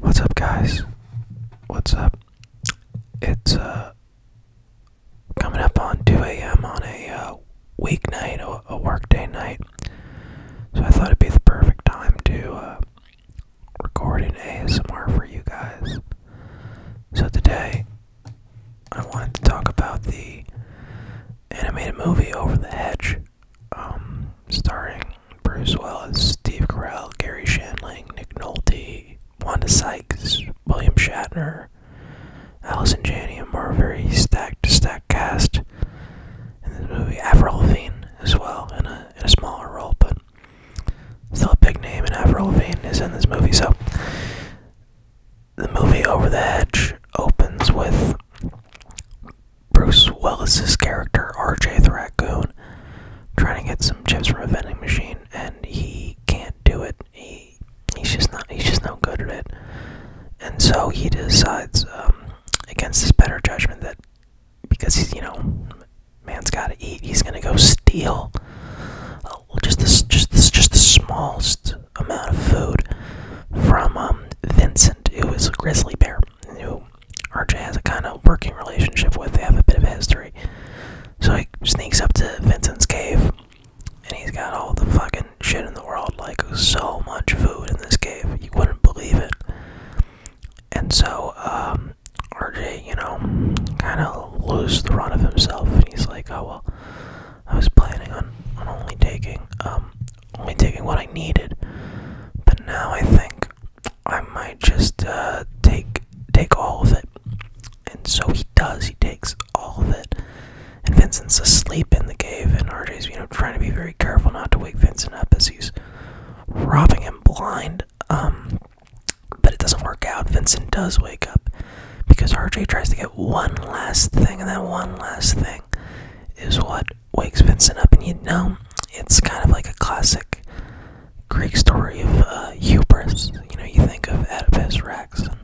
What's up, guys? What's up? It's uh coming up on 2 a.m. on a uh, weeknight, a, workday night. So I thought it'd be the perfect time to uh, record an ASMR for you guys. So today, I wanted to talk about the animated movie Over the Hedge, um, starring Bruce Willis, Steve Carell, Gary Shandling, Nick Nolte, Wanda Sykes, William Shatner, Allison Janney, and more very stacked, stacked cast in this movie. Avril Lavigne as well in a in a smaller role, but still a big name. And Avril Lavigne is in this movie, so the movie Over the Hedge opens with Bruce Willis's character, RJ the Raccoon, trying to get some chips from a vending machine, and he can't do it. He he's just not he's just no good at it. And so he decides, um, against his better judgment, that because he's you know, man's got to eat, he's gonna go steal uh, just this just this just the smallest amount of food from um, Vincent, who is a grizzly bear, who RJ has a kind of working relationship with. They have a bit of history. So he sneaks up to Vincent's cave, and he's got all the fucking shit in the world, like so much food in this cave, you wouldn't believe it. And so, um, RJ, you know, kind of loses the run of himself, and he's like, "Oh well, I was planning on, on only taking, um, only taking what I needed, but now I think I might just uh, take take all of it. And so he does. He takes all of it. And Vincent's asleep in the cave, and RJ's you know trying to be very careful not to wake Vincent up as he's robbing him blind. Um, but it doesn't work out. Vincent does wake up because RJ tries to get one last thing, and that one last thing is what wakes Vincent up, and you know, it's kind of like a classic Greek story of uh, hubris. You know, you think of Oedipus Rex and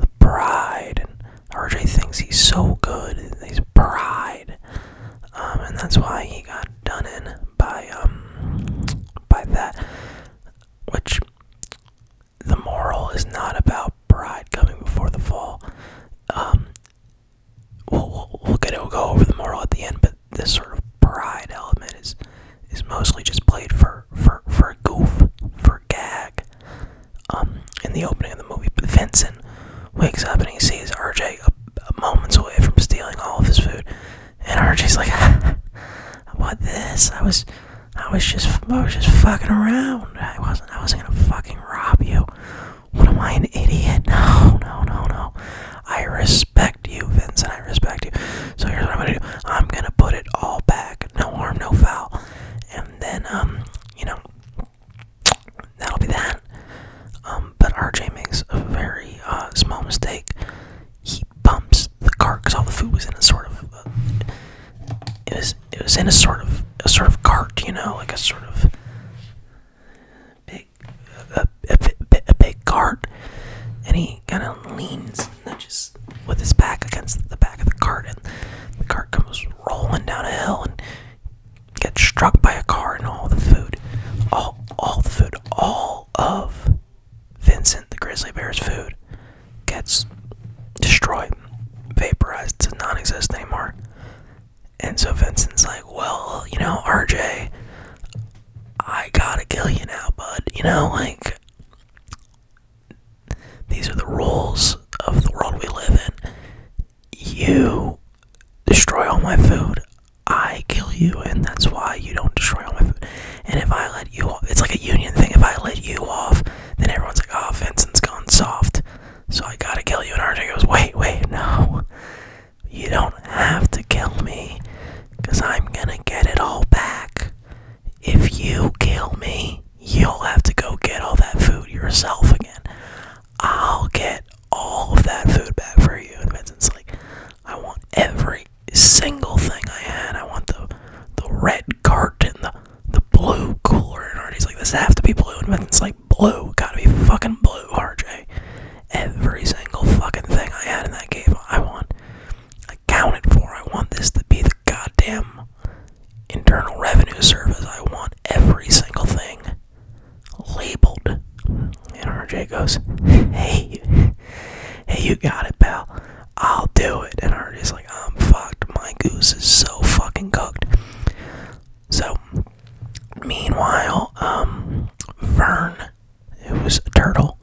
the pride, and RJ thinks he's so good, he's pride, um, and that's why he got done in by um by that. Which the moral is not about pride coming before the fall. Um, we'll, we'll, get it, we'll go over the moral at the end, but this sort of pride element is is mostly just played for for for goof, for gag. Um, in the opening of the movie, but Vincent wakes up and he sees RJ moments away from stealing all of his food, and RJ's like, "What this? I was, I was just, I was just fucking around. I wasn't, I wasn't gonna fucking rob you." What am I, an idiot? No, no, no, no. I respect you, Vincent. I respect you. So here's what I'm gonna do. I'm gonna put it all back. No harm, no foul. And then, um, you know, that'll be that. Um, but RJ makes a very uh, small mistake. He bumps the cart because all the food was in a sort of. Uh, it was. It was in a sort of a sort of cart, you know, like a sort of big a, big cart, and he kind of leans just with his back against the back of the cart, and the cart comes rolling down a hill and gets struck by a car, and all the food, all all the food, all of Vincent the grizzly bear's food gets destroyed, vaporized does not exist anymore. And so Vincent's like, well, you know, RJ, I gotta kill you now, bud. You know, like, these are the rules of the world we live in. You destroy all my food, I kill you, and that's why you don't destroy all my food. And if I let you off, it's like a union thing. If I let you off, then everyone's like, oh, Vincent's gone soft. So I gotta kill you. And RJ goes, wait, wait, no. You don't have to kill me, because I'm gonna get it all back. If you kill me, you'll have to go get all that food yourself again. I'll get all of that food back for you. And Vincent's like, I want every single thing I had. I want the the red carton, the the blue cooler. And Artie's like, this has to be blue? And Vincent's like, blue, gotta be fucking blue, RJ. Every single fucking thing I had in that game, I want accounted for. I want this to be the goddamn internal revenue service. I want every single thing labeled. And RJ goes, Hey, hey, you got it, pal. I'll do it. And RJ's like, I'm fucked. My goose is so fucking cooked. So, meanwhile, um, Vern, who is a turtle,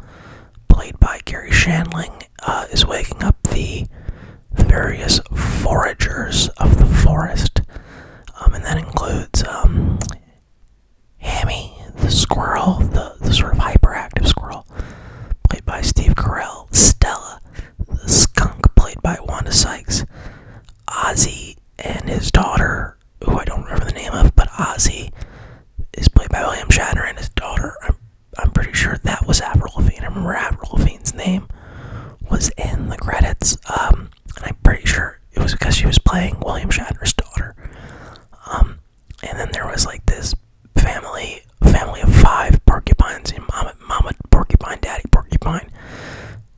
played by Gary Shandling, uh, is waking up the, various foragers of the forest. Um, and that includes um, Hammy, the squirrel, the, sort of hyperactive squirrel, played by Steve Carell, Stella, the skunk, played by Wanda Sykes, Ozzy and his daughter, who I don't remember the name of, but Ozzy is played by William Shatner and his daughter. I'm I'm pretty sure that was Avril Lavigne. I remember Avril Lavigne's name was in the credits, um, and I'm pretty sure it was because she was playing William Shatner's daughter. Um, and then there was like this family family of five porcupines, and mama porcupine, daddy porcupine,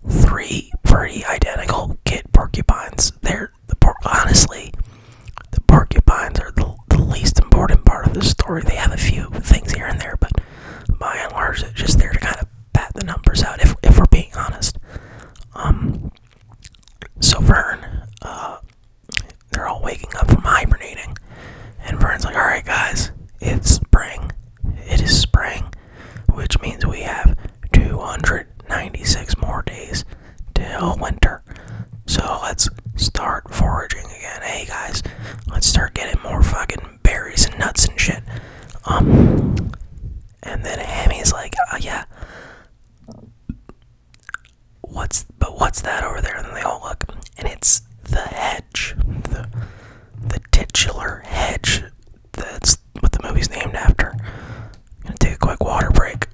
three pretty identical kid porcupines. They're the por honestly, the porcupines are the, least important part of the story. They have a few things here and there, but by and large, it's just there to kind of pat the numbers out. If if we're being honest, um, so Vern, uh, they're all waking up from hibernating, and Vern's like, "All right, guys, it's spring. It is spring." Which means we have 200 96 more days till winter. So let's start foraging again. Hey guys, let's start getting more fucking berries and nuts and shit. Um, and then Hammy's like, uh, yeah. What's but what's that over there? And they all look, and it's the hedge, the the titular hedge. That's what the movie's named after. I'm gonna take a quick water break.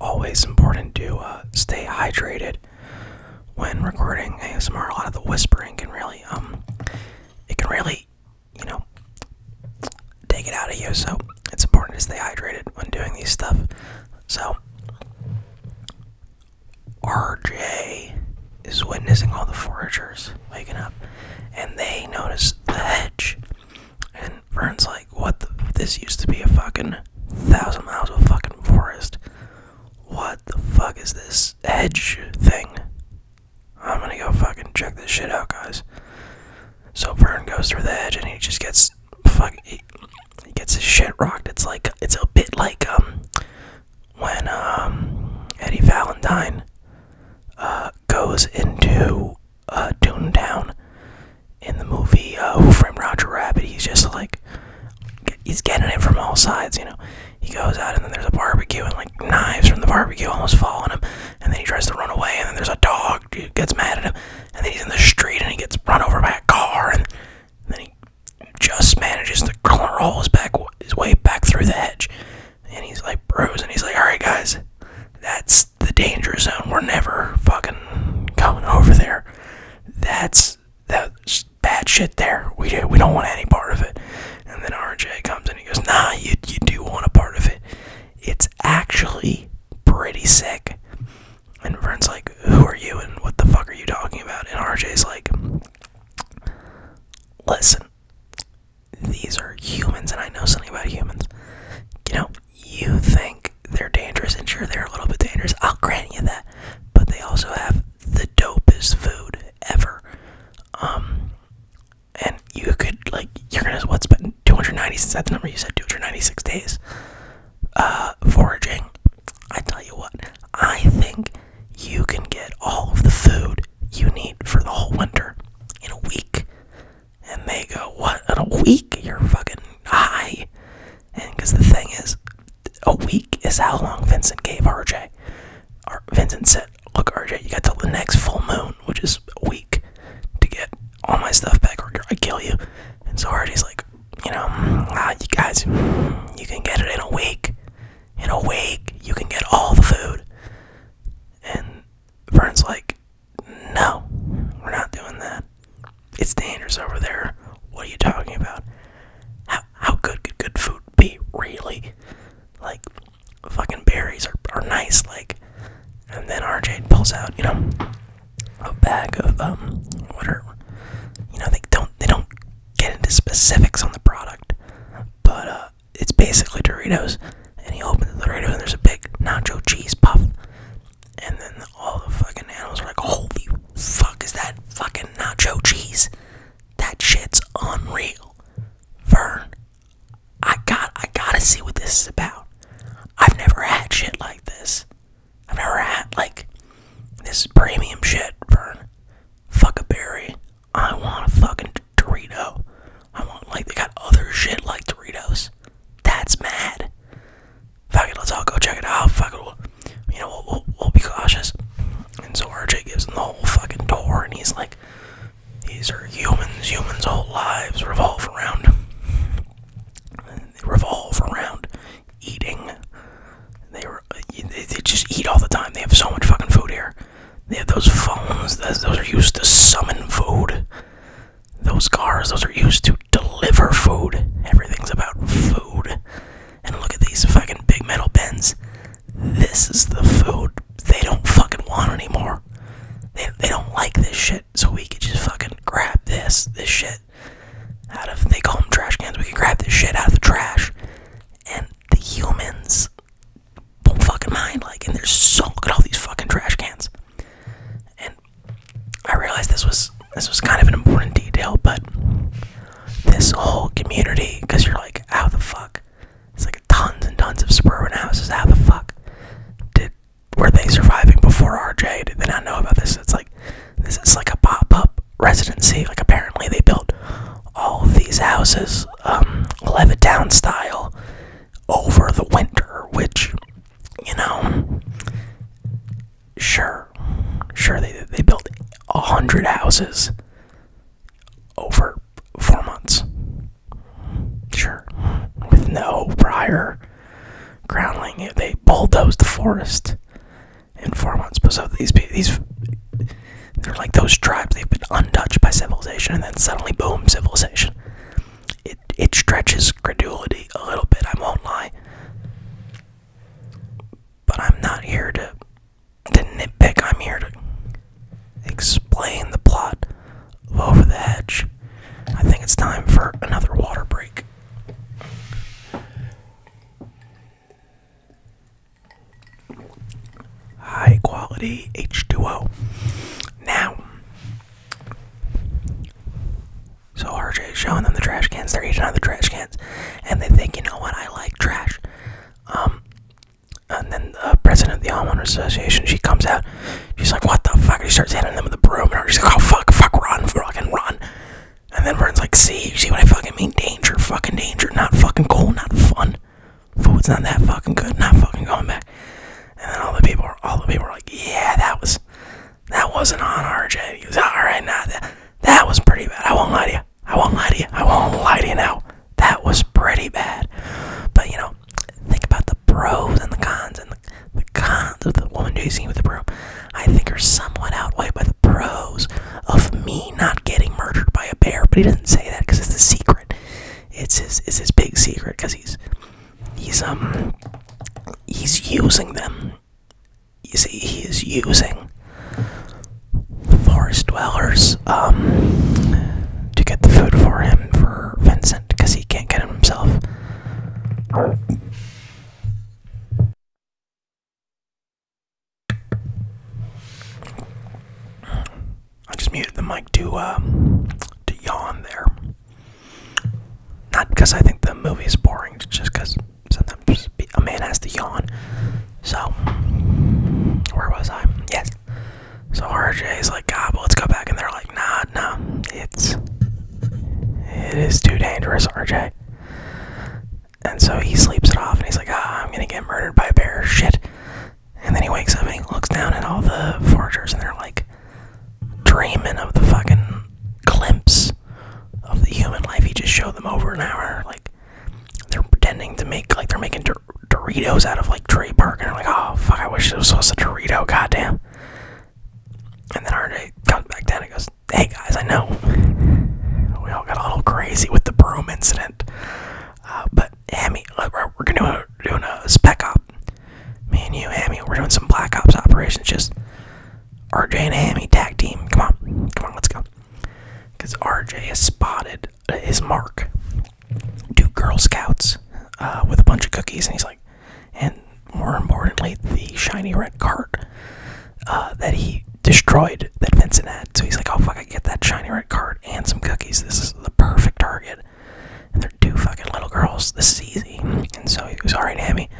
Always important to uh, stay hydrated when recording ASMR. A lot of the whispering can really um it can really, you know, take it out of you. So it's important to stay hydrated when doing these stuff. So RJ is witnessing all the foragers waking up, and they notice the hedge. And Vern's like, "What? The, this used to be a fucking thousand miles of fucking forest. What the fuck is this hedge thing?" I'm gonna go fucking check this shit out, guys. So Vern goes through the edge and he just gets fuck. He, gets his shit rocked. It's like it's a bit like um when um Eddie Valentine uh goes into uh Toontown in the movie uh, Who Framed Roger Rabbit. He's just like he's getting it from all sides, you know. He goes out and then there's a barbecue and like knives from the barbecue almost fall on him, and then he tries to run away and then there's a dog gets mad at him, and then he's in the street and he gets run over by a car and then he just manages to crawl his his way back through the hedge, and he's like bruised and he's like, all right guys, that's the danger zone. We're never fucking going over there. That's that's bad shit there. We do. We don't want any part of it. And then RJ comes in and he goes, Nah, you you do want a part of it. It's actually pretty sick. And Vern's like, Who are you and what the fuck are you talking about? And RJ's like, Listen, these are humans and I know something about humans. You know, you think they're dangerous, and sure, they're a little bit dangerous. I'll grant you that. But they also have the dopest food ever. Um, and you could like you're gonna what spend 296 is that the number you said 296 days uh foraging i tell you what i think you can get all of the food you need for the whole winter in a week and they go what in a week you're fucking high and because the thing is a week is how long vincent gave rj Ar Vincent said, Look, RJ, you got till the next full moon, which is a week, to get all my stuff back or I kill you. And so Hardy's like, You know, you guys, you can get it in a week. In a week, you can get all the food. And Vern's like, No, we're not doing that. It's dangerous over there. What are you talking about? How, how good could good food be, really? like fucking berries are, are nice like and then RJ pulls out you know a bag of um what you know they don't they don't get into specifics on the product but uh it's basically Doritos and he opens the Doritos and there's a big nacho cheese puff and then all the fucking animals are like holy fuck is that fucking nacho cheese that shit's unreal. Vern, I got I gotta see what this is about. I've never had shit like this. I've never had like this premium shit, Vern. Fuck a berry. I want a fucking Dorito. I want like they got other shit like Doritos. That's mad. Fuck it, let's all go check it out. Fuck it, we you know we'll, we'll be cautious. And so RJ gives him the whole fucking tour, and he's like, these are humans. Humans' whole lives revolve around. They revolve around eating. They, were, uh, they just eat all the time. They have so much fucking food here. They have those phones. those are used to summon food. Those cars. Those are used to deliver food. Everything's about food. And look at these fucking big metal bins. This is the food they don't fucking want anymore. They, don't like this shit, so we could just fucking grab this, this shit out of, they call them trash cans, we can grab this shit out of the trash. And the humans don't fucking mind, like, and there's so, look at all these fucking trash cans. And I realized this was, this was kind of an important detail, but this whole community, because you're like, how the fuck? It's like tons and tons of suburban houses. How the fuck did were they surviving before RJ? Did they not know about this? It's like this is like a pop-up residency. Like apparently they built all these houses, um, Levittown style, over the winter, which you know, sure, sure they they built a hundred houses over four months. Sure. With no prior groundling, they bulldozed the forest in four months. But so these these they're like those tribes. They've been untouched by civilization, and then suddenly, boom, civilization. It it stretches credulity a little bit. I won't lie. But I'm not here to the nitpick, I'm here to explain the plot of Over the Hedge. I think it's time for another water break. High quality H2O. Now, so RJ is showing them the trash cans. They're eating out of the trash cans, and they think, you know what? I like trash. Um, and then the president of the homeowner association, she comes out. She's like, "What the fuck?" She starts hitting them with the broom, and she's like, "Oh fuck, fuck, run, fucking run!" And then Vern's like, "See, see what I fucking mean? Danger, fucking danger. Not fucking cool, not fun. Food's not that fucking good. Not fucking going back." And then all the people, all the people, were like, "Yeah, that was, that wasn't on our RJ." He was all right, now that, that was pretty bad. I won't lie to you. I won't lie to you. I won't lie to you now. That was pretty bad. But you know, think about the pros and the cons, and the, cons of the woman chasing you with the broom. I think are somewhat outweighed by the pros of me not getting murdered by a bear. But he doesn't say that because it's a secret. It's his it's his big secret because he's he's um he's using them. You see, he is using forest dwellers um, to get the food for him for Vincent because he can't get it himself. I just muted the mic to um, to yawn there. Not because I think the movie is boring, just because sometimes a man has to yawn so, where was I? Yes. So RJ is like, God, but let's go back. And they're like, nah, nah. It's, it is too dangerous, RJ. And so he sleeps it off and he's like, ah, I'm gonna get murdered by a bear, shit. And then he wakes up and he looks down at all the forgers, and they're like dreaming of the fucking glimpse of the human life he just showed them over an hour. Like, they're pretending to make like they're making Doritos out of like tree bark, and they're like, oh fuck, I wish it was supposed to Dorito, goddamn. And then RJ comes back down and goes, hey guys, I know we all got a little crazy with the broom incident, uh, but Hammy, uh, we're, we're gonna do doing a spec op. Me and you, Hammy, we're doing some Black Ops operations. Just RJ and Hammy tag team. Come on, come on, let's go. Because RJ is spotted is mark two Girl Scouts uh, with a bunch of cookies, and he's like, and more importantly, the shiny red cart uh, that he destroyed that Vincent had. So he's like, oh fuck, I get that shiny red cart and some cookies. This is the perfect target. And they're two fucking little girls. This is easy. And so he goes, all right, Hammy,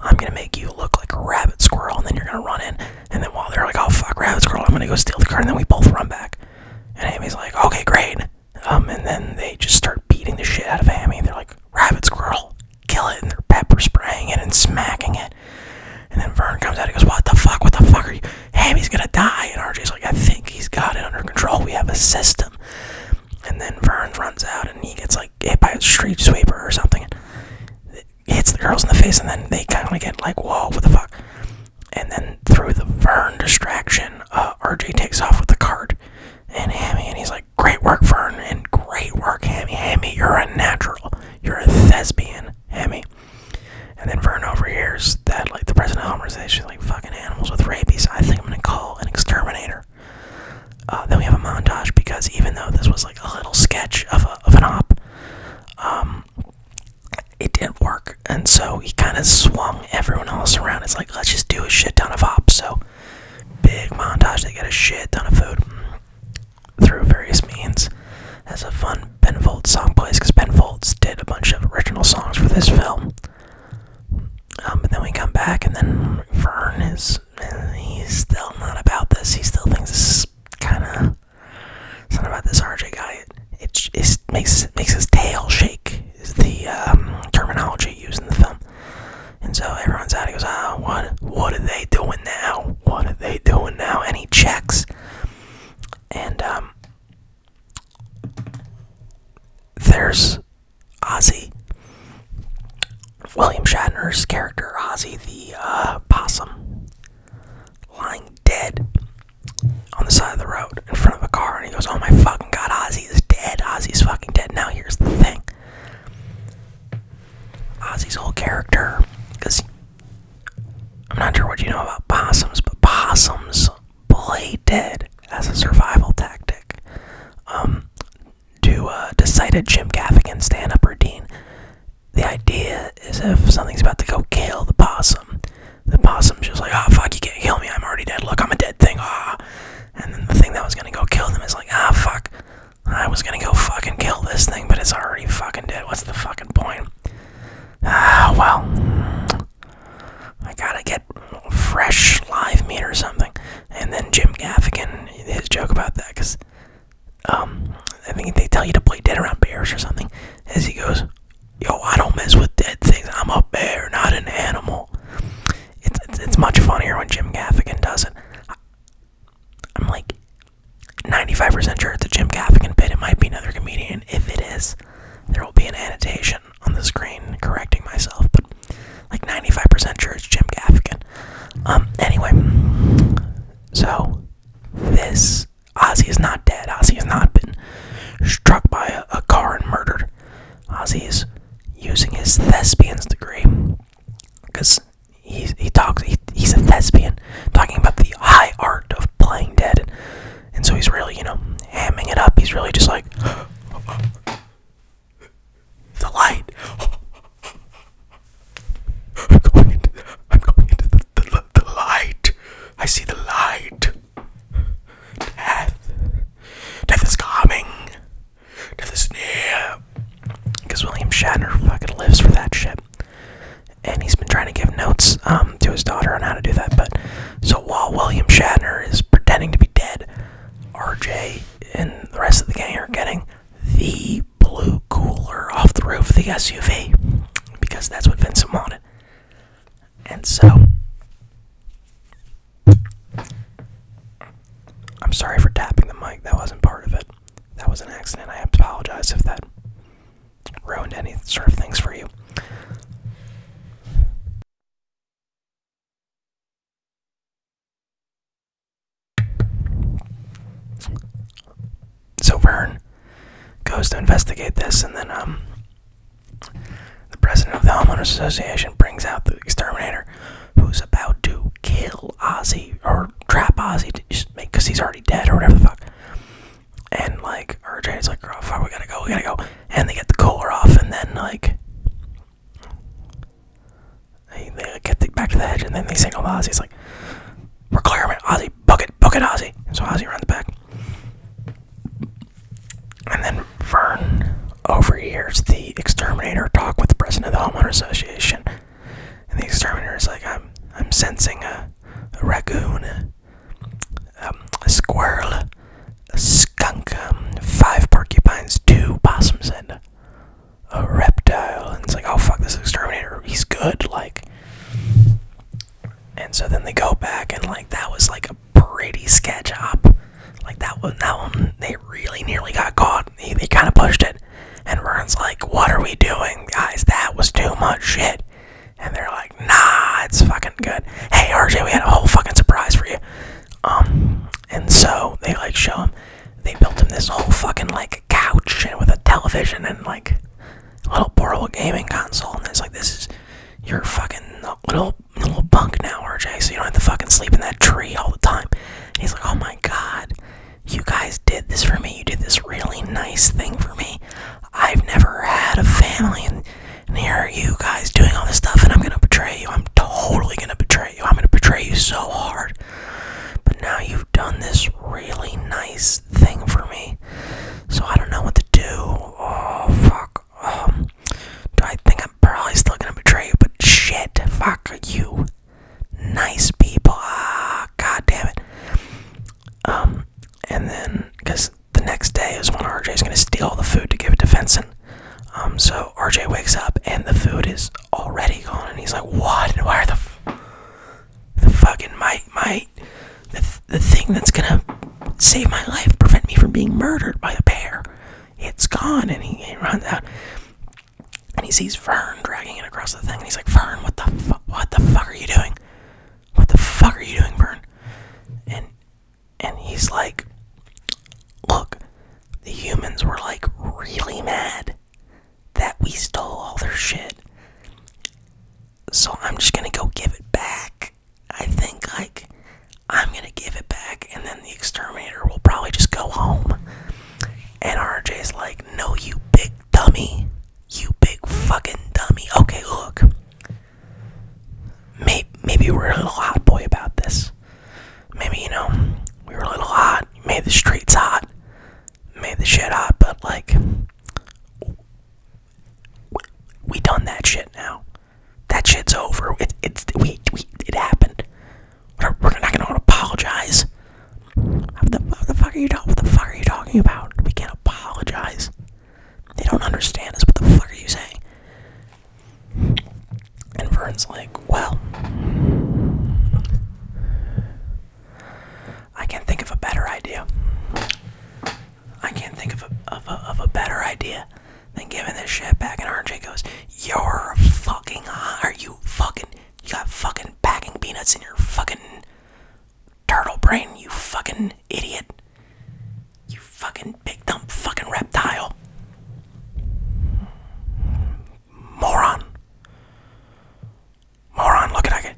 I'm gonna make you look like a rabbit squirrel, and then you're gonna run in, and then while they're like, oh fuck, Rabbit's Girl, I'm gonna go steal the car, and then we both run back. And Amy's like, okay, great. Um, and then they just start beating the shit out of Amy. They're like, Rabbit's Girl, kill it. And they're pepper spraying it and smacking it. And then Vern comes out and goes, what the fuck, what the fuck are you? Amy's gonna die. And RJ's like, I think he's got it under control. We have a system. And then Vern runs out and he gets like hit by a street sweeper or something hits the girls in the face, and then they kind of get like, whoa, what the fuck? And then through the Vern distraction, uh, RJ takes off with the cart, and Hammy, and he's like, great work, Vern, and great work, Hammy. Hammy, you're a natural. You're a thespian, Hammy. And then Vern overhears that, like, the president of Homer says, she's like, fucking animals with rabies. I think I'm gonna call an exterminator. Uh, then we have a montage because even though this was like a little sketch of, of an op, um, it didn't work, and so he kind of swung everyone else around. It's like let's just do a shit ton of hops. So big montage. They get a shit ton of food through various means. As a fun Ben Folds song plays, because Ben Folds did a bunch of original songs for this film. Um, but then we come back, and then Vern is—he's still not about this. He still thinks this is kind of Something about this RJ guy. It, it makes his tail shake. Is the um, terminology used in the film? And so everyone's out. He goes, "Ah, oh, what? What are they doing now? What are they doing now?" And he checks, and um, there's Ozzy, William Shatner's character, Ozzy the uh, possum, lying dead on the side of the road in front of a car, and he goes, "Oh my fucking god, Ozzy is dead. Ozzy's fucking dead." Now here's the thing: Ozzy's whole character, because I'm not sure what you know about possums, but possums play dead as a survival tactic. Um, to uh, decided Jim Gaffigan stand-up routine the idea is if something's about to go kill the possum, the possum's just like, ah, fuck, you can't kill me, I'm already dead, look, I'm a dead thing, ah. And then the thing that was gonna go kill them is like, ah, fuck, I was gonna go fucking kill this thing, but it's already fucking dead, what's the fucking point? Ah, well, I gotta get fresh live meat or something. And then Jim Gaffigan, his joke about that, because um, I think they tell you to play dead around bears or something. As he goes, yo, I don't mess with dead things. I'm a bear, not an animal. It's it's, much funnier when Jim Gaffigan does it. I'm like 95% sure it's a Jim Gaffigan bit. It might be another comedian. If it is, there will be an annotation on the screen correcting myself. But like 95% sure it's Jim Gaffigan. Um, anyway, so this Ozzy is not dead. Ozzy has not been struck by a, car and murdered. Ozzy is using his thespian's degree because he he talks he's a thespian talking about the high art of playing dead, and, and so he's really you know hamming it up. He's really just like the light. I'm going into, the light. I see the light. Death. Death is coming. Death is near. Because William Shatner fucking lives for that shit. And he's been trying to give notes um, to his daughter on how to do that. But so while William Shatner is pretending to be dead, RJ and the rest of the gang are getting the blew cooler off the roof of the SUV because that's what Vincent wanted. And so I'm sorry for tapping the mic. That wasn't part of it. That was an accident. I apologize if that ruined any sort of things for you so Vern goes to investigate this, and then um, the president of the homeowners association brings out the exterminator, who's about to kill Ozzy or trap Ozzy because he's already dead or whatever the fuck. And like RJ's like, oh fuck, we gotta go, we gotta go, and they get the cooler off, and then like. They, get back to the hedge and then they signal Ozzy. It's like, we're clearing man. Ozzy, book book it, Ozzy. And so Ozzy runs back. And then Vern overhears the exterminator talk with the president of the homeowner association. And the exterminator is like, I'm, I'm sensing a, raccoon, a, um, a squirrel, a skunk, um, five porcupines, two possums, and a reptile. And it's like, oh fuck, this exterminator, he's good. Like, and so then they go back and like that was like a pretty sketch up. Like that one, that one, they really nearly got caught. They, they kind of pushed it. And Ron's like, what are we doing, guys? That was too much shit. And they're like, nah, it's fucking good. Hey, RJ, we had a whole fucking surprise for you. Um, and so they like show him, they built him this whole fucking like couch and with a television and like a little portable gaming console and it's like this is your fucking little little bunk now, RJ, so you don't have to fucking sleep in that tree all the time. he's like, Oh my god, you guys did this for me, you did this really nice thing for me. I've never had a family and, here you guys doing all this stuff and I'm gonna betray you. I'm totally gonna betray you. I'm gonna betray you so hard. But now you have done this really nice thing for me. So I don't know what to do. Oh, fuck. Um, do I think I'm probably still gonna betray you? But shit, fuck you. Nice people. Ah, god damn it. Um, and then, because the next day is when RJ is gonna steal the food to give it to Fenson. Um, so RJ wakes up and the food is already gone, and he's like, "What? Where the, f the fucking my my the, the thing that's gonna save my life, prevent me from being murdered by a bear. It's gone, and he, runs out. And he sees Fern dragging it across the thing, and he's like, "Fern, what the fu what the fuck are you doing? What the fuck are you doing, Fern?" And and he's like, "Look, the humans were like really mad that we stole all their shit. So I'm just gonna go give it back. I think, like, I'm gonna give it back, and then the exterminator will probably just go home. And RJ's like, No, you big dummy. You big fucking dummy. Okay, look. Maybe, maybe we're a little hot boy about this. Maybe, you know, we were a little hot. Made the streets hot. Made the shit hot, but, like, we done that shit now. That shit's over. It it's we we it happened. we're not gonna apologize. What the, what the fuck are you talking? What the fuck are you talking about? We can't apologize. They don't understand us. What the fuck are you saying? And Vern's like, well, I can't think of a better idea. I can't think of a, of of a better idea than giving this shit back. And RJ goes, You're fucking Are you fucking. You got fucking packing peanuts in your fucking turtle brain, you fucking idiot. You fucking big dumb fucking reptile. Moron. Moron, look at I could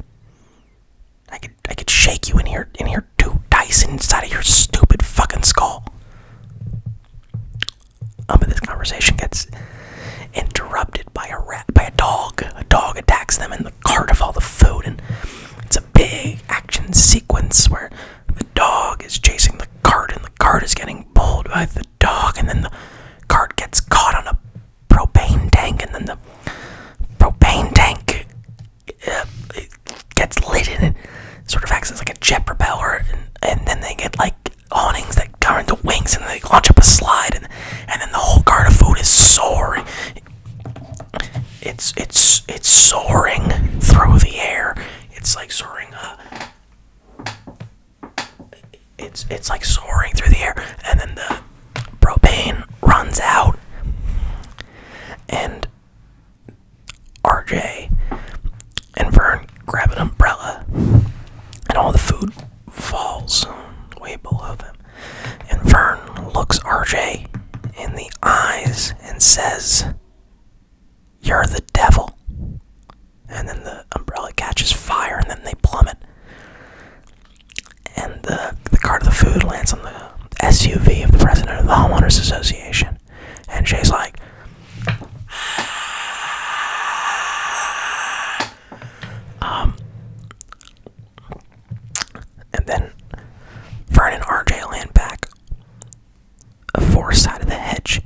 I could I could shake you in here in here two dice inside of your stupid fucking skull. Um but this conversation gets interrupted by a rat by a dog. A dog attacks them in the cart of all the food and it's a big action sequence where the dog is chasing the cart and the cart is getting pulled by the dog and then the cart gets caught on a propane tank, and then the propane tank uh, gets lit and it sort of acts as like a jet propeller, and, and then they get like awnings that cover the wings, and they launch up a slide, and and then the whole cart of food is soaring. It's it's it's soaring through the air. It's like soaring. Uh, it's it's like soaring through the air, and then the propane runs out and RJ and Vern grab an umbrella and all the food falls way below them. And Vern looks RJ in the eyes and says, You're the devil. And then the umbrella catches fire and then they plummet and the, the cart of the food lands on the SUV of the president of the Homeowners Association. And Jay's like, um, and then Vernon and RJ land back a forest side of the hedge,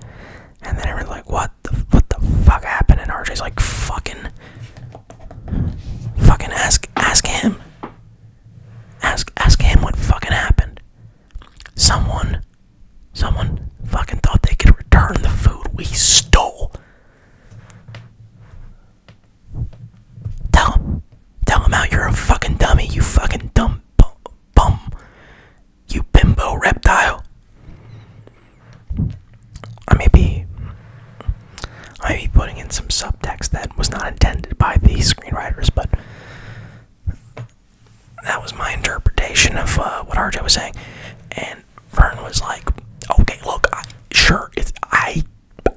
and then everyone's like, "What the what the fuck happened?" And RJ's like, "Fucking Fucking ask ask him. Ask ask him what fucking happened. Someone someone fucking thought they could return the food we stole. Tell him. Tell him out you're a fucking dummy, you fucking dumb bum. You bimbo reptile. I may be I may be putting in some subtext that was not intended by the screenwriters, but that was my interpretation of uh, what Arjay was saying. And Vern was like, "Okay, look, sure, I,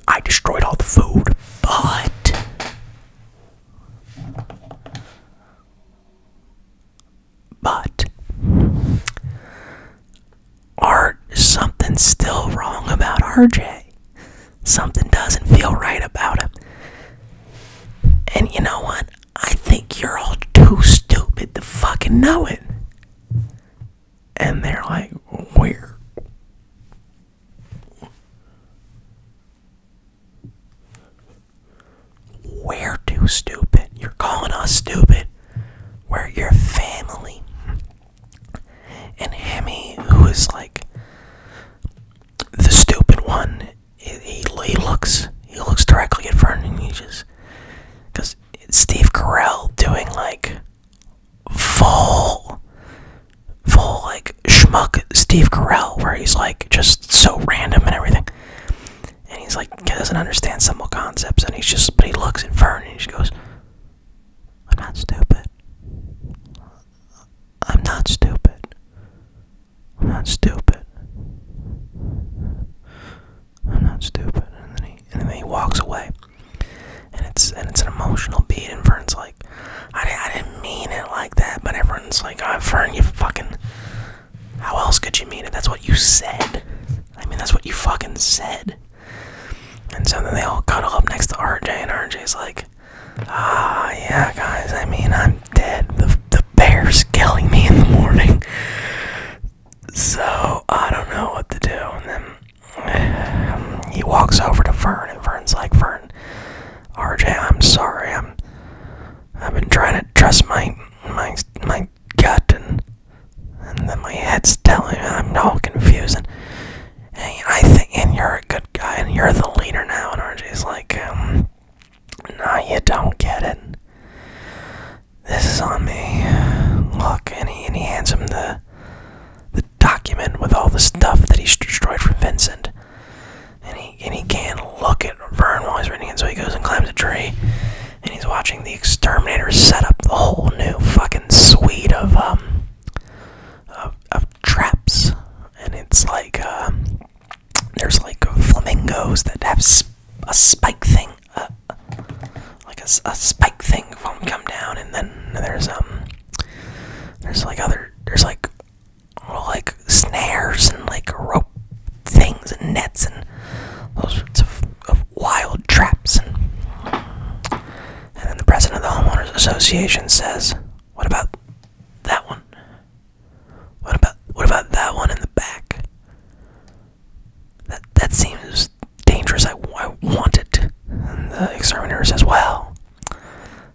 I destroyed all the food, but." But art something's still wrong about RJ. Something doesn't feel right about him. And you know what? I think you're all too stupid to fucking know it. And they're like, where? We're too stupid. You're calling us stupid. We're your family. And Hammy, who is like the stupid one, he, he looks he looks directly at Fern and he just because Steve Carell doing like full full like schmuck Steve Carell where he's like just so random and everything. And he's like doesn't understand simple concepts and he's just but he looks at Fern and he just goes, I'm not stupid. I'm not stupid. I'm not stupid. I'm not stupid. And then he and then he walks away. And it's and it's an emotional beat. And Fern's like, I, I didn't mean it like that. But everyone's like, oh, uh, Fern, you fucking. How else could you mean it? That's what you said. I mean, that's what you fucking said. And so then they all cuddle up next to RJ, and RJ is like, Ah, yeah, guys, I mean, I'm dead. The, the bear's killing me in the morning. So I don't know what to do. And then he walks over to Fern, and Fern's like, Fern, RJ, I'm sorry. I'm, I've been trying to trust my, my, my gut, and and then my head's telling me I'm all confused. And, I think, and you're a good guy, and you're the leader now. And RJ's like, um, "No, you don't get it. This is on me. Look, and he, and he hands him the, the document with all the stuff that he destroyed from Vincent. And he, and he can't look at Vern while he's reading it, so he goes and climbs a tree and he's watching the exterminator set up the whole new fucking suite of um of, traps and it's like uh, there's like flamingos that have a spike thing uh, like a, a spike thing from come down and then there's um there's like other there's like well, like snares and like rope things and nets and those sorts of of wild traps. And, then the president of the Homeowners Association says, What about that one? What about what about that one in the back? That that seems dangerous. I, I want it. And the exterminator says, Well,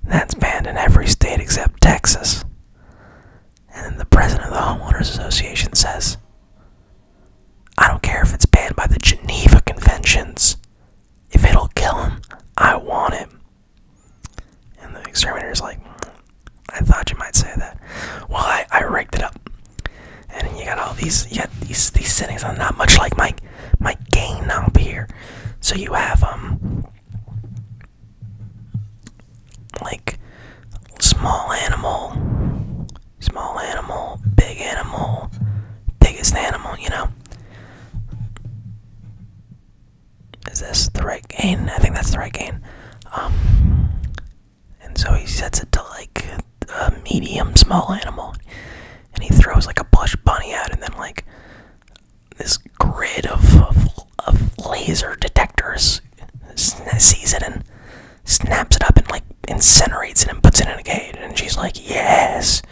that's banned in every state except Texas. And then the president of the Homeowners Association says, I don't care if it's banned by the Geneva Conventions. If it'll kill him, I want it. And the exterminator's like, I thought you might say that. Well, I, I rigged it up. And you got all these, you these, these settings on not much like my, my gain knob here. So you have, um, like, small animal, small animal, big animal, biggest animal, you know. Is this the right gain? I think that's the right gain. Um, and so he sets it to like a medium small animal. And he throws like a plush bunny out, and then like this grid of, of laser detectors sees it and snaps it up and like incinerates it and puts it in a cage. And she's like, yes,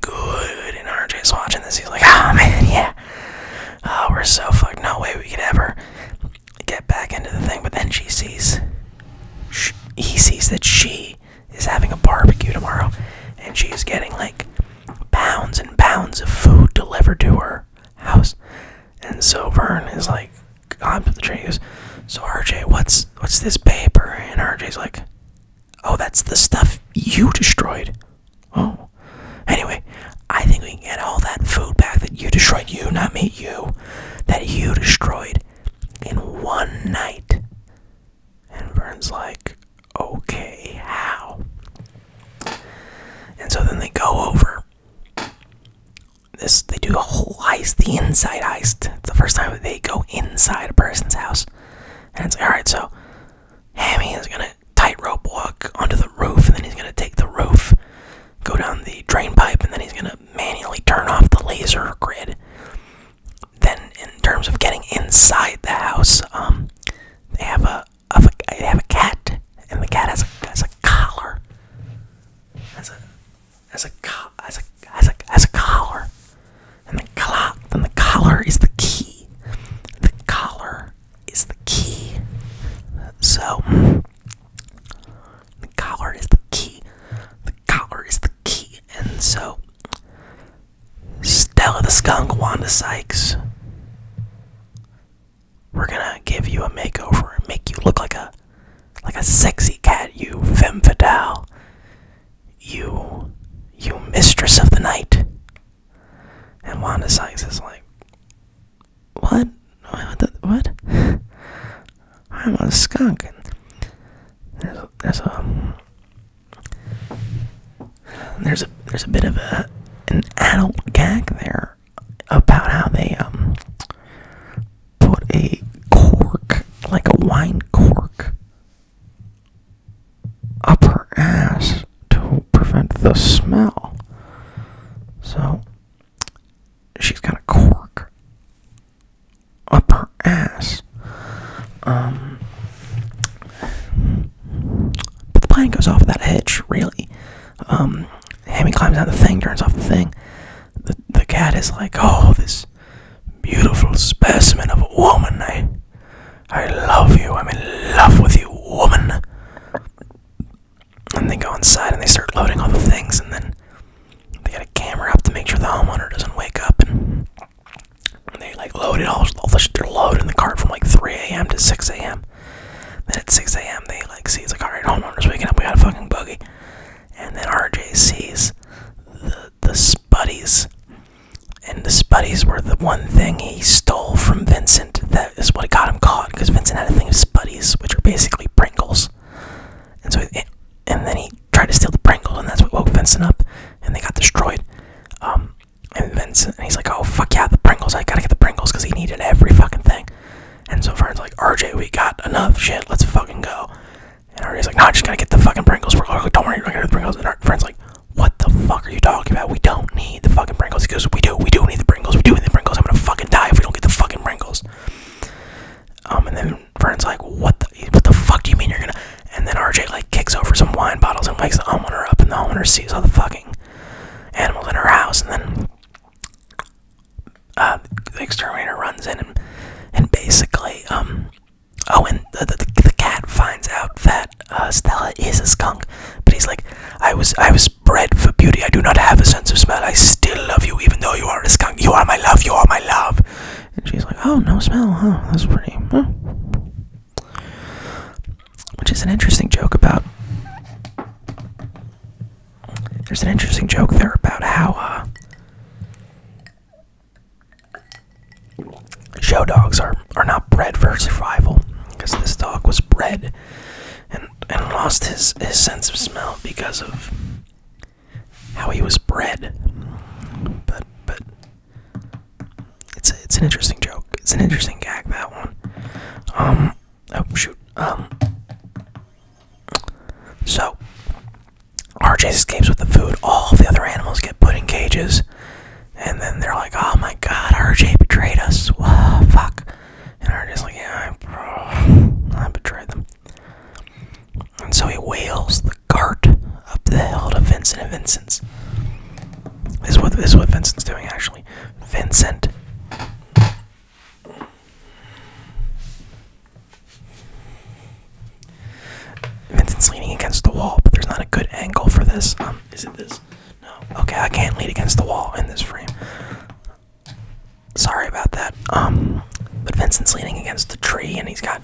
good. And RJ is watching this. He's like, ah, oh, man, yeah. Oh, we're so fucked. No way we could ever get back into the thing. But then she sees, he sees that she is having a barbecue tomorrow. And she's getting like pounds and pounds of food delivered to her house. And so Vern is like, climbs up the tree. "So RJ, what's what's this paper?" And RJ's like, "Oh, that's the stuff you destroyed." Oh. Anyway, I think we can get all that food back that you destroyed. You, not me. You, that you destroyed in one night. And Vern's like, "Okay, how?" And so then they go over this they do a whole heist, the inside heist. It's the first time they go inside a person's house. And it's alright, so Hammy is gonna tightrope walk onto the roof, and then he's gonna take the roof, go down the drain pipe, and then he's gonna manually turn off the laser grid. Then, in terms of getting inside the house, um, they have a, a they have a cat, and the cat has a, has a collar, has a as a as a as a as a collar, and the clock. Then the collar is the key. The collar is the key. So the collar is the key. The collar is the key, and so Stella the skunk, Wanda Sykes. We're gonna give you a makeover and make you look like a like a sexy cat, you femme fatale, you, you mistress of the night. And Wanda Sykes is like, what? What? The, what? I'm a skunk. And there's a, there's a there's a there's a bit of a an adult gag there about how they um put a cork, like a wine cork, up her ass to prevent the smell. So she's got a cork up her ass. Um, but the plane goes off without a hitch, really. Um, Hammy climbs out the thing, turns off the thing. the cat is like, oh, this beautiful specimen of a woman. I, I love you. I'm in love with you, woman. And they go inside and they start loading all the things, and then they got a camera up to make sure the homeowner doesn't wake up. And they like load it all. all the, they're in the cart from like 3 a.m. to 6 a.m. Then at 6 a.m. they like see it's like all right, homeowner's waking up. We got a fucking boogie. And then RJ sees the, the Spuddies. And the Spuddies were the one thing he stole from Vincent. That is what got him caught, because Vincent had a thing of Spuddies, which are basically Pringles. And so, and then he tried to steal the Pringles, and that's what woke Vincent up, and they got destroyed. Um, and Vincent, and he's like, "Oh fuck yeah, the Pringles! I gotta get the Pringles because he needed every fucking thing." And so Vern's like, "RJ, we got enough shit. Let's fucking go." And RJ's like, no, I just gotta get the fucking Pringles. We're like, don't worry, we're gonna get the Pringles. And our friend's like, what the fuck are you talking about? We don't need the fucking Pringles. He goes, we do, we do need the Pringles. We do need the Pringles. I'm gonna fucking die if we don't get the fucking Pringles. Um, and then Vern's like, what the, what the fuck do you mean you're gonna? And then RJ like kicks over some wine bottles and wakes the homeowner up, and the homeowner sees all the fucking animals in her house, and then um, the exterminator runs in and basically um, oh and the the, cat finds out that uh, Stella is a skunk, but he's like I was I was bred for beauty. I do not have a sense of smell. I still love you even though you are a skunk. You are my love. You are my love. And she's like oh no smell. Huh? That's pretty. Which is an interesting joke about. There's an interesting joke there about how uh, Show dogs are, are not bred for survival because this dog was bred and, and lost his, his sense of smell because of how he was bred. But but it's it's an interesting joke. It's an interesting gag that one. Um oh shoot. Um so, RJ escapes with the food. All the other animals get put in cages. And then they're like, oh my god, RJ betrayed us. Wow, fuck. And RJ's like, yeah, I, I betrayed them. And so he wheels the cart up the hill to Vincent and Vincent's. This is what, this is what Vincent's doing, actually. Vincent Vincent's leaning against the wall, but there's not a good angle for this. Um, is it this? No. Okay, I can't lean against the wall in this frame. Sorry about that. Um, but Vincent's leaning against the tree, and he's got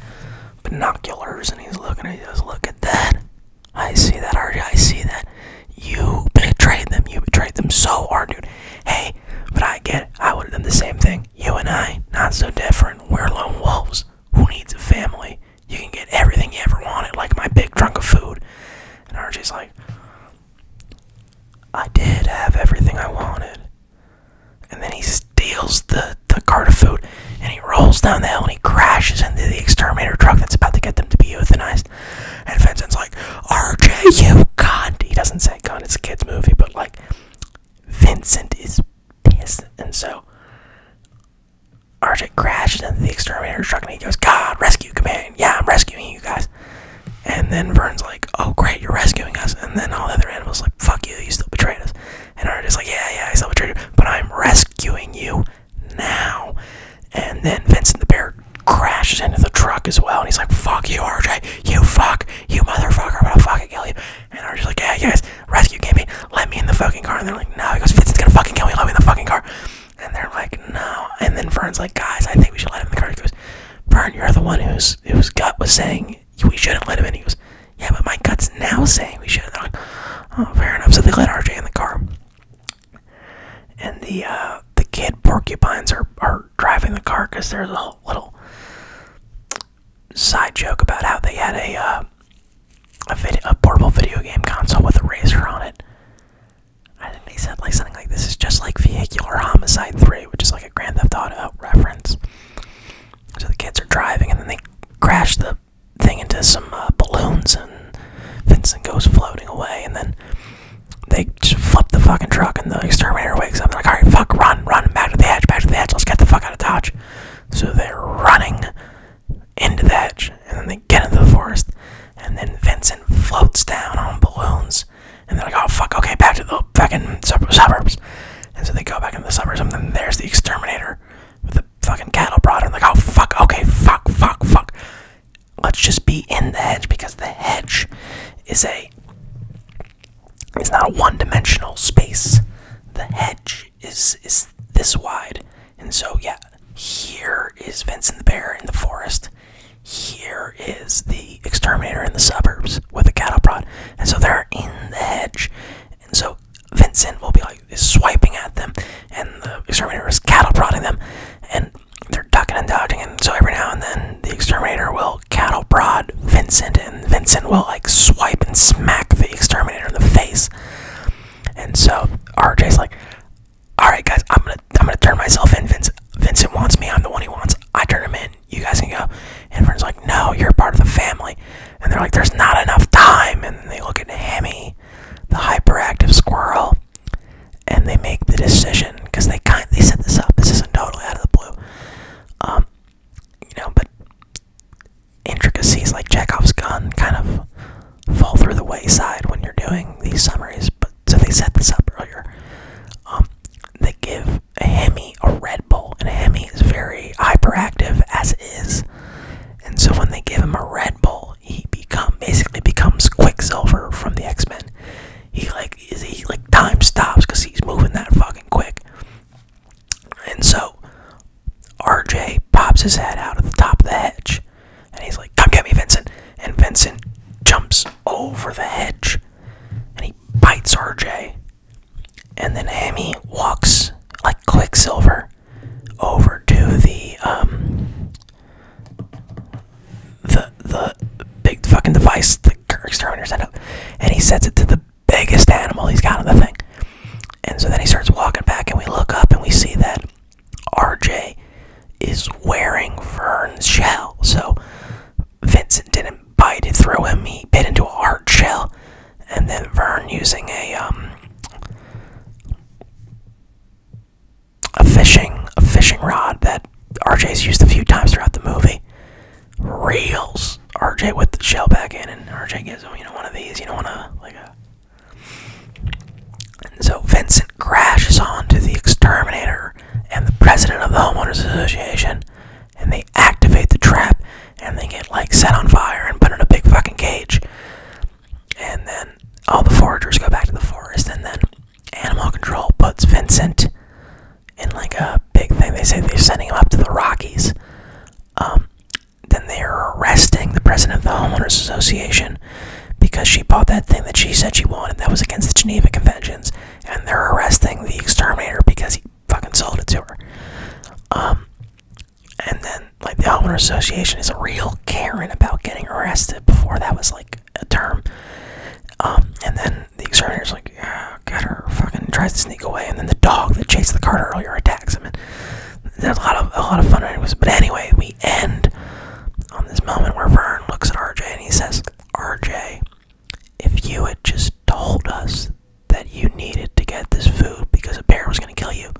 binoculars, and he's looking. at us. "Look at that! I see that, already. I see that. You betrayed them. You betrayed them so hard, dude. Hey, but I get. I would have done the same thing. You and I, not so different. We're lone wolves. Who needs a family? You can get everything you ever wanted, like my big trunk of food. And RJ's like, I did have everything I wanted. And then he steals the, the cart of food and he rolls down the hill and he crashes into the exterminator truck that's about to get them to be euthanized. And Vincent's like, RJ, you cunt! He doesn't say cunt, it's a kid's movie, but like, Vincent is pissed, and so Arctic crashes into the exterminator truck, and he goes, "God, rescue command! Yeah, I'm rescuing you guys." And then Vern's like, "Oh, great, you're rescuing us!" And then all the other animals like, "Fuck you, you still betrayed us." And Arctic's like, "Yeah, yeah, I still betrayed you, but I'm rescuing you now." And then Vincent the bear crashes into the truck as well, and he's like, "Fuck you, RJ! You fuck! you motherfucker, but I'll fucking kill you. And I was like, yeah, yes, rescue me. let me in the fucking car. And they're like, no. He goes, Vincent's gonna fucking kill me, let me in the fucking car. And they're like, no. And then Vern's like, guys, I think we should let him in the car. He goes, Vern, you're the one whose whose gut was saying we shouldn't let him in. He goes, yeah, but my gut's now saying we should They're like, oh, fair enough. So they let RJ in the car. And the uh, the kid porcupines are, are driving the car because there's a little side joke about how they had a uh, a, video, a portable video game console with a razor on it. I think they said like something like this is just like Vehicular Homicide 3, which is like a Grand Theft Auto reference. So the kids are driving, and then they crash the thing into some uh, balloons, and Vincent goes floating away, and then they just flip the fucking truck, and the exterminator wakes up, and like, all right, fuck, run run, back to the edge, back to the edge, let's get the fuck out of Dodge. So they're running into the edge, and then they get into the forest, and then Vincent floats down on balloons, and they're like, oh fuck, okay, back to the fucking suburbs. And so they go back into the suburbs, and then there's the exterminator with the fucking cattle prod, and like, oh fuck, okay, fuck, fuck, fuck. Let's just be in the hedge because the hedge is a it's not a one-dimensional space. The hedge is is this wide, and so yeah, here is Vincent the Bear in the forest. Here is the exterminator in the suburbs with a cattle prod, and so they're in the hedge, and so Vincent will be like is swiping at them, and the exterminator is cattle prodding them, and they're ducking and dodging, and so every now and then the exterminator will cattle prod Vincent, and Vincent will like swipe and smack the exterminator in the face. And so RJ's like, "All right, guys, I'm gonna I'm gonna turn myself in. Vincent Vincent wants me. I'm the one he wants. I turn him in. You guys can go." And Vern's like, "No, you're part of the family." And they're like, "There's not enough time." And they look at Hammy, the hyperactive squirrel, and they make the decision because they kind they set this up. This isn't totally out of the blue. Um, you know, but intricacies like Chekhov's gun kind of fall through the wayside when you're doing these summaries. But so they set this up earlier. Um, they give a Hemi a Red Bull, and a Hemi is very hyperactive as is, and so when they give him a Red Bull, he become basically becomes Quicksilver from the X Men he like he like time stops because he's moving that fucking quick. And so RJ pops his head out of the top of the hedge and he's like, Come get me, Vincent. And Vincent jumps over the hedge and he bites RJ. And then Amy walks like Quicksilver over to the um, the the big fucking device the exterminator set up and he sets it to the biggest animal he's got on the thing. And so then he starts walking back, and we look up and we see that RJ is wearing Vern's shell. So Vincent didn't bite it through him, he bit into a hard shell. And then Vern, using a, um, a fishing a fishing rod that RJ has used a few times throughout the movie, reels. RJ with the shell back in, and RJ gives him, you know, one of these, you don't want to like a. so Vincent crashes onto the exterminator and the president of the Homeowners Association, and they activate the trap, and they get, like, set on fire and put in a big fucking cage. And then all the foragers go back to the forest, and then Animal Control puts Vincent in like a big thing. They say they're sending him up to the Rockies. Um, then they are arresting the president of the homeowners association because she bought that thing that she said she wanted that was against the Geneva Conventions, and they're arresting the exterminator because he fucking sold it to her. Um, and then like the homeowners association is a real Karen about getting arrested before that was like a term. Um, and then the exterminator's like, yeah, got her, fucking tries to sneak away, and then the dog that chased the cart earlier attacks him. And there's a lot of a lot of fun anyways. But anyway, we end on this moment where Vern looks at RJ and he says, RJ, if you had just told us that you needed to get this food because a bear was gonna kill you,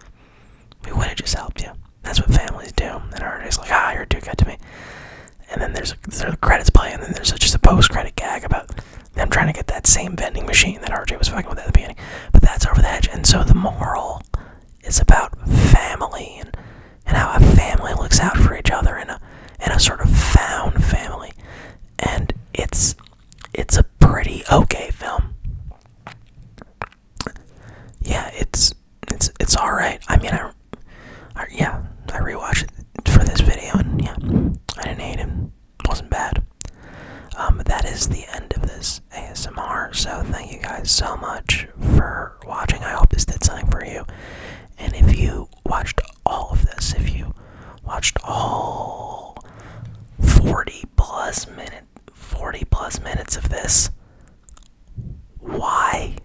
we would have just helped you. That's what families do. And RJ's like, ah, you're too good to me. And then there's a, there's a credits play, and then there's a, just a post credit gag about I'm trying to get that same vending machine that RJ was fucking with at the beginning. But that's over the hedge. And so the moral is about family and, how a family looks out for each other in a, and a sort of found family. And it's, it's a pretty okay film. Yeah, it's, it's, it's alright. I mean, I, yeah, I rewatched it for this video, and yeah, I didn't hate him. Wasn't bad. Um, but that is the end of this ASMR. So thank you guys so much for watching. I hope this did something for you. And if you watched all of this, if you watched all 40 plus minute 40 plus minutes of this, why?